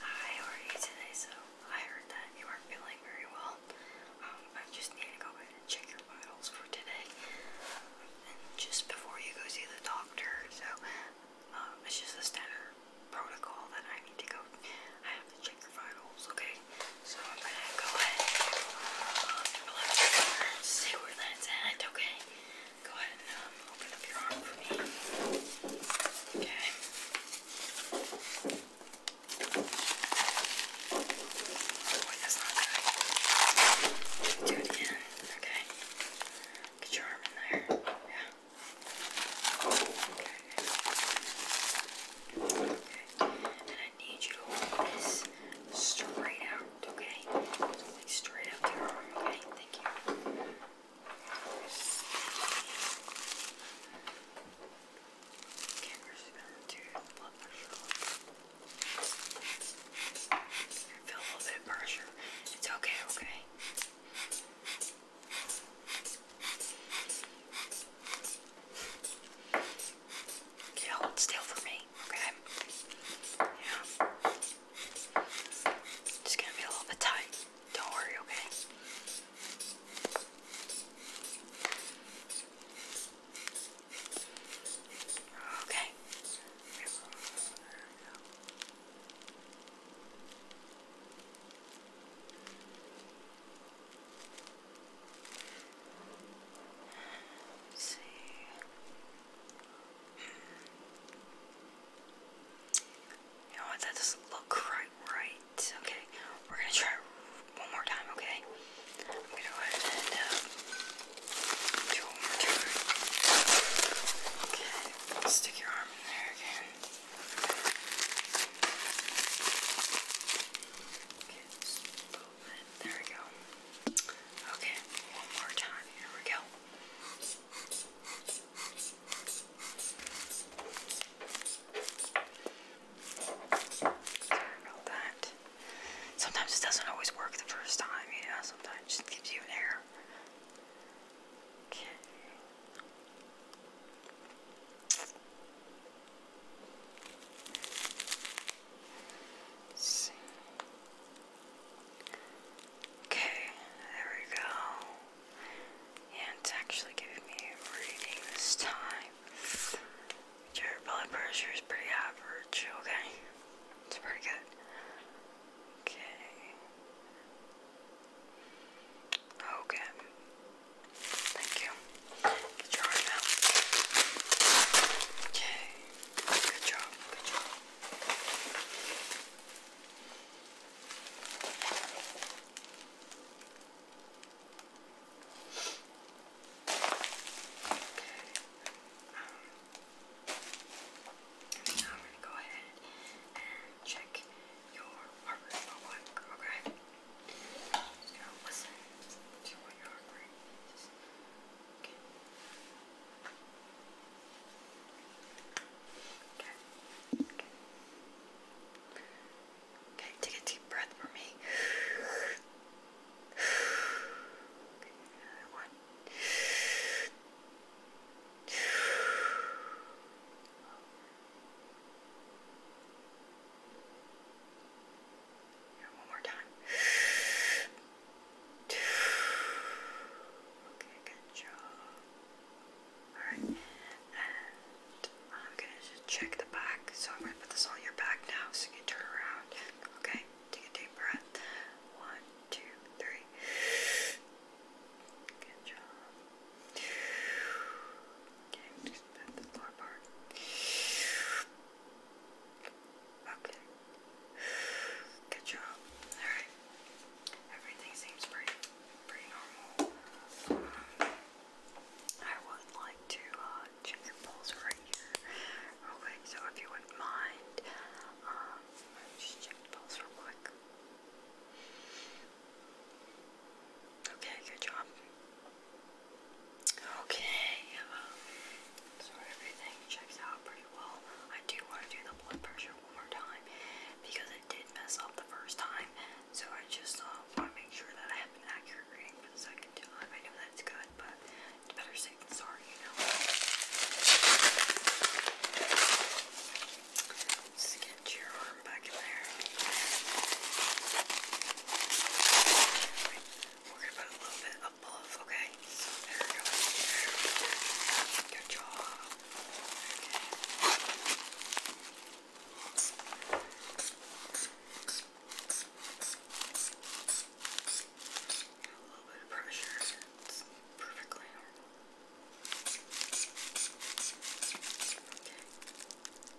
Hi, how are you today? So, I heard that you aren't feeling very well. Um, I just need to go ahead and check your vitals for today. And just before you go see the doctor, so um, it's just a standard protocol that I need to go. I have to check your vitals, okay? So I'm gonna go ahead and um, see where that's at, okay? Go ahead and um, open up your arm for me. Okay. Oh, that's not good. Do it again. Okay. Get your arm in there. Yeah. Okay. Okay. And I need you to hold this straight out, okay? So like straight out your arm, okay? Thank you. Camera's going to blood pressure. Feel a little bit of pressure. It's okay, okay. Okay, hold still for me, okay? Yeah. Just gonna be a little bit tight. Don't worry, okay? Okay. see. You That doesn't look right. Right. Okay. We're gonna try one more time. Okay. I'm gonna go ahead and uh, do one more time. Okay. Stick your arm in there again. Okay. There we go. Okay. One more time. Here we go. Sometimes it doesn't always work the first time, you know, sometimes it just gives you an error. Okay. Let's see. Okay, there we go. And it's actually giving me a reading this time. Your blood pressure is pretty average, okay? It's pretty good. Okay. Okay. Oh, Thank you. Get your arm out. Okay. Good job. Good job. Okay. Um, now I'm going to go ahead and check your heartbeat real okay? Just gonna listen to what your heart rate is. Okay. Okay. Okay. take a deep breath for me. one. One more time. Okay, good job. Alright, and I'm gonna just check the back. So I'm gonna put this on your back now so you can turn around. Okay, take a deep breath. One, two, three. Good job. Okay, just put the lower part. Okay. Good job. Alright. Everything seems pretty pretty normal. Um, I would like to uh, check your pulse right here. Real so if you wouldn't mind, um, just check the pulse real quick. Okay, good job. Okay, so everything checks out pretty well. I do want to do the blood pressure one more time because I did mess up the first time. So I just uh, want to make sure that I have an accurate reading for the second time. I know that's good, but better safe than sorry, you know. let get your back in there. We're gonna put a little bit above, okay? So there we go. Good job. Okay. A little bit of pressure. It's perfectly normal. Okay.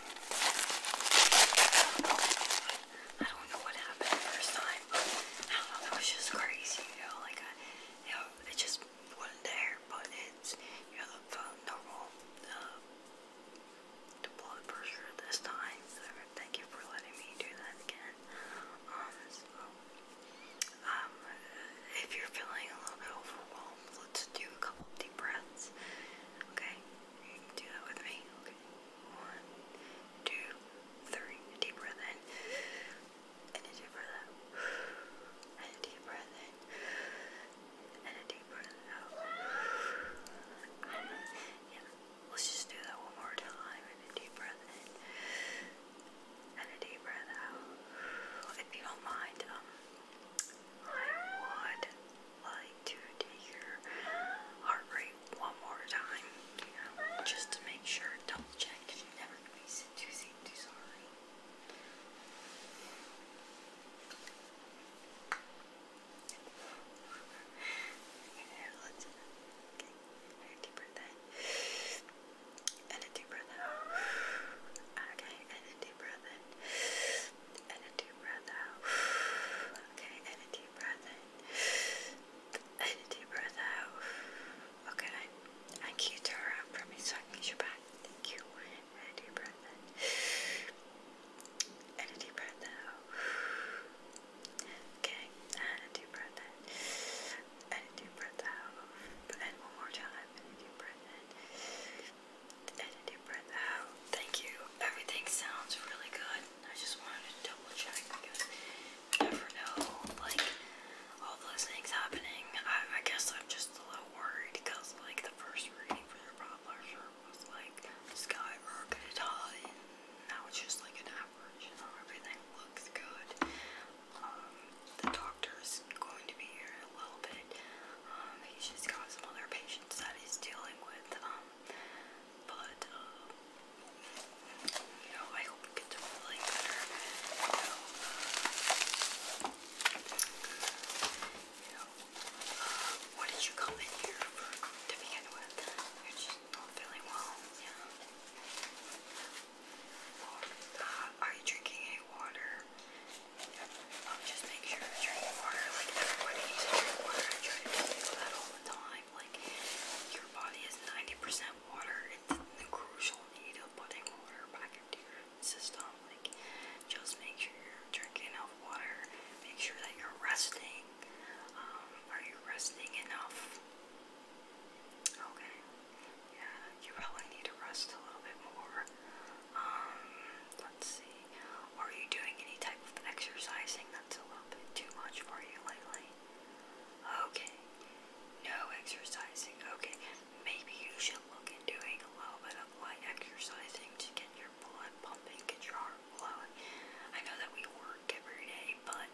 I don't know what happened the time. I don't know, that was just crazy, you know, like I, it just wasn't there, but it's, you know, the normal, uh, um, the blood pressure this time, thank you for letting me do that again. Um, um, if you're feeling a little bit overwhelmed, let's do a couple of deep breaths, okay? Okay. Do that with me. Okay. One, two, three. deep breath in. And a deep breath out. And a deep breath in. And a deep breath out. yeah. Let's just do that one more time. And a deep breath in. And a deep breath out. If you don't mind, um, I would like to do your heart rate one more time, just to make sure, double check, you never going to be too, too sorry. Okay, let deep breath in, and a deep breath out. Okay, and a deep breath in and a deep breath out. Okay, and a deep breath in. And a deep breath out. Okay, I can you turn for me so I can get your back. Thank you. And a deep breath in. And a deep breath out. Okay, and a deep breath in. And a deep breath out. And one more time. And a deep breath in and a deep breath out. Thank you. Everything sounds really good. I just wanted to double check because you never know, like, all those things happening. I, I guess I'm just a little worried because, like, the first reading for your blood pressure was, like, skyrocket high. Now it's just, like, an average, you know, everything looks good. Um, the doctor's going to be here in a little bit. Um, just got some other patients that he's dealing with. Um, but, uh, you know, I hope it gets feeling better. You know, uh, did you come in here to begin with? You're just not feeling well, yeah are you drinking any water? Um, just make sure to drink water. Like everybody needs to drink water. I try that all the time. Like your body is 90% water. It's crucial need putting water back into your system. Like just make sure you're drinking enough water. Make sure that you're resting. Um, are you resting enough? Okay. Yeah, you probably need to rest a little bit more. Um, let's see. Are you doing any type of exercising that's a little bit too much for you lately? Okay. No exercising. Okay. Maybe you should look at doing a little bit of light exercising to get your blood pumping, get your heart flowing. I know that we work every day, but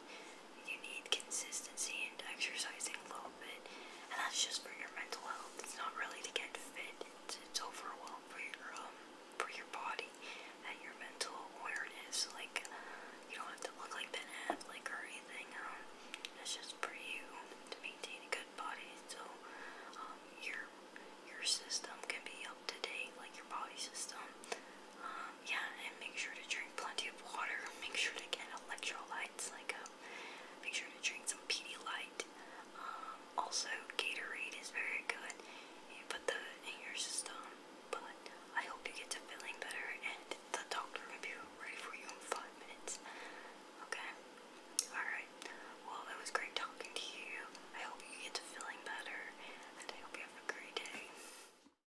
you need consistency and exercising a little bit, and that's just for your mental health. It's not really to get fit. It's, it's overall for your um for your body and your mental awareness. Like you don't have to look like Ben Affleck or anything. Um, it's just for you to maintain a good body. So um, your your system can be up to date, like your body system. Um, yeah, and make sure to drink plenty of water. Make sure to get electrolytes, like um, make sure to drink some Pedialyte. Um, also, Gatorade is very good. You put the in your system. But I hope you get to feeling better, and the doctor will be ready for you in five minutes. Okay. All right. Well, it was great talking to you. I hope you get to feeling better, and I hope you have a great day.